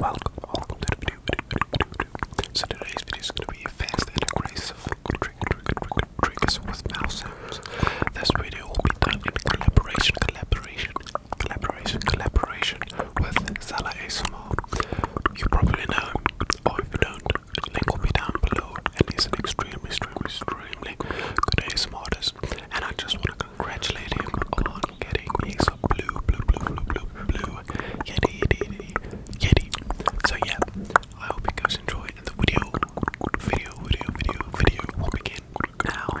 Welcome, So today's video is going to be fast and aggressive triggers with mouse sounds. This video will be done in collaboration, collaboration, collaboration, collaboration with Zala ASMR. You probably know him, or if you don't, link will be down below. And he's an extremely, extremely, extremely good And I just want to congratulate him on getting me some blue, blue, blue, blue, blue, blue, yeti, yeti, So yeah, I hope you guys enjoy the video, video, video, video, video will now.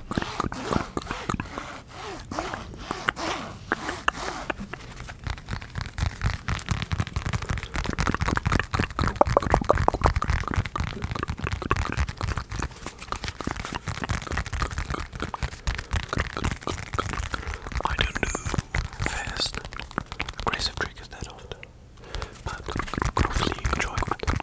I don't know. fast aggressive triggers that often, but hopefully you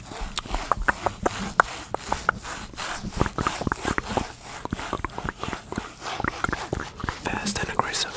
Fast and aggressive.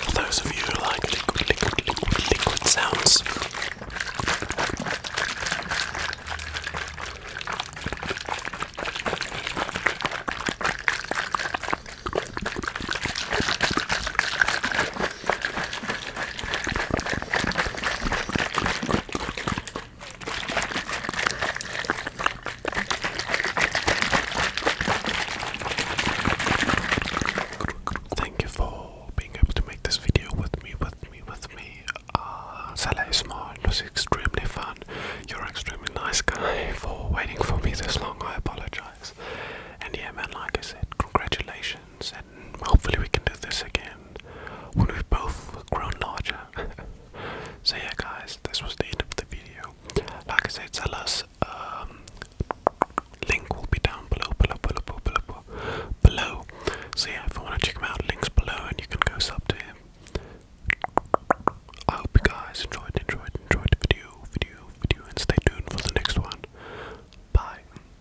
For those of you who like liquid, liquid, liquid, liquid sounds, Thank you for being able to make this video with me, with me, with me. Uh, Salah is smart, it was extremely fun. You're an extremely nice guy for waiting for me this long, I apologize. And yeah, man, like I said, congratulations, and hopefully we can do this again and when we've both grown larger. so yeah guys, this was the end of the video. Like I said, tell us um link will be down below, below, below, below, below, below. So yeah, if you wanna check him out, links below and you can go sub to him. I hope you guys enjoyed, enjoyed, enjoyed the video, video, video, and stay tuned for the next one. Bye.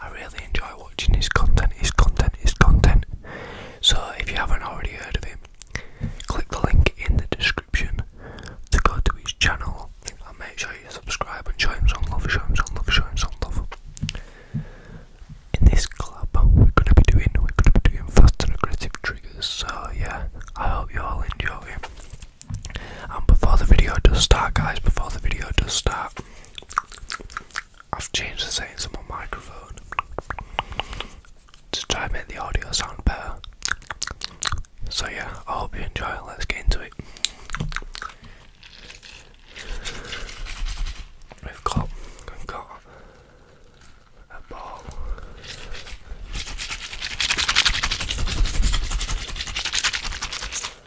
I really enjoy watching his content, his content, his content. So if you haven't already heard of him, click the link in the description to go to his channel and make sure you subscribe and show him some love, show him some love, show him some love. In this club we're gonna be doing we're gonna be doing fast and aggressive triggers, so yeah, I hope you all enjoy. And um, before the video does start, guys, before the video does start, I've changed the settings on my microphone to try and make the audio sound better. So, yeah, I hope you enjoy it. Let's get into it. We've got, we've got a ball.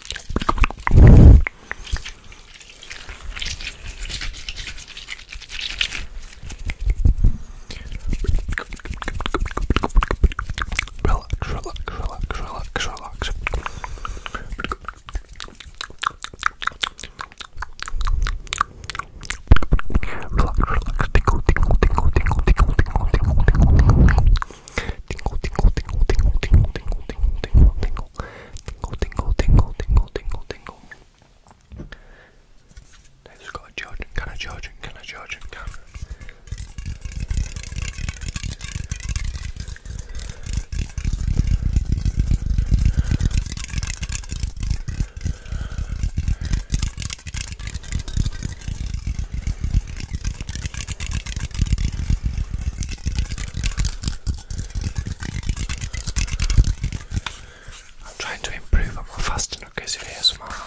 Relax, relax, relax, relax, relax. Relax, relax, tickle, tickle, tickle, tickle, tickle, tickle, tickle, tickle, tickle. Tingle, tingle, tingle, tingle, tingle, tingle, tingle, tingle, tingle, tingle, tingle, tingle, tingle, tingle, tingle. I just got a charging, can I charge it? Can I charge it? Can I? I'm trying to improve on my fasting occasion here somehow.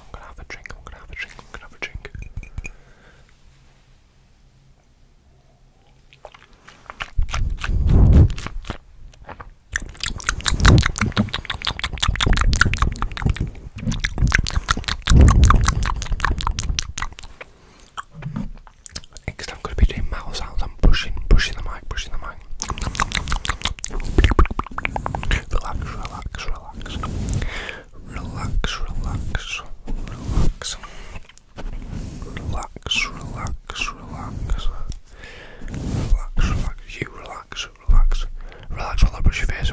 I'm gonna have a drink, I'm gonna have a drink, I'm gonna have a drink. Next, I'm going to be doing mouth sounds. I'm pushing, pushing the mic, pushing the mic. Relax, relax, relax relax, relax, relax, relax, relax, relax. Relax, relax, you relax, relax, relax while I brush your face.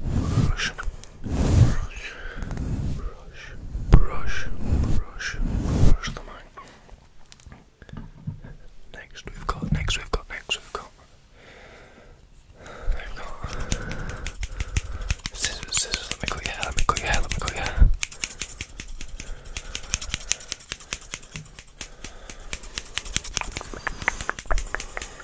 brush, brush, brush, brush, brush, the mic. Next we've got, next we've got, next we've got, we've scissors, scissors, let me cut you. hair, let me cut you. hair, let me cut you. hair.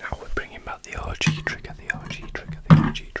Now we're bringing back the RG trigger, the RG trigger, the RG trigger.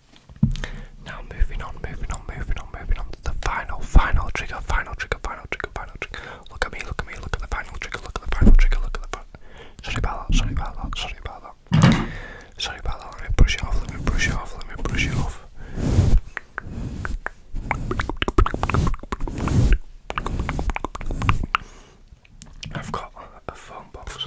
Now moving on, moving on, moving on, moving on to the final, final trigger, final trigger, final trigger, final trigger. Look at me, look at me, look at the final trigger, look at the final trigger, look at the final. Sorry about that, sorry about that, sorry about that. Sorry about that, let me brush it off, let me brush it off, let me brush it off. I've got a phone box.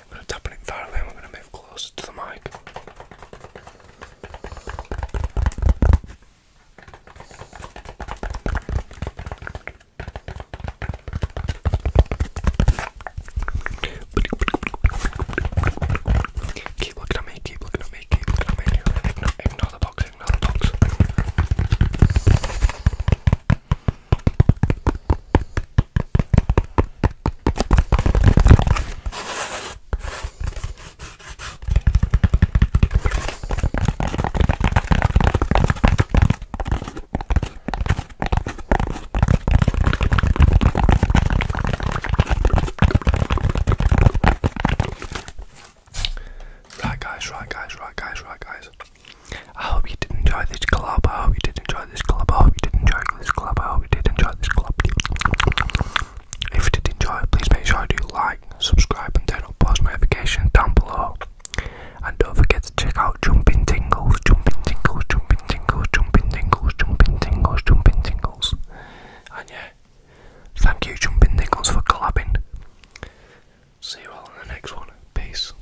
I'm going to tap it violently and we're going to move closer to the mic. Keep looking at me, keep looking at me, keep looking at me. Ignore, ignore the box, Right guys, right guys, right guys, right guys. I hope you did enjoy this club. I hope you did enjoy this club. I hope you did enjoy this club. I hope you did enjoy this club. If you did enjoy it, please make sure you like, subscribe, and turn on post notifications down below. And don't forget to check out Jumping Tingles, Jumping Tingles, Jumping Tingles, Jumping Tingles, Jumping Tingles, Jumping Tingles. And yeah, thank you, Jumping Tingles, for collabing. See you all in the next one. Peace.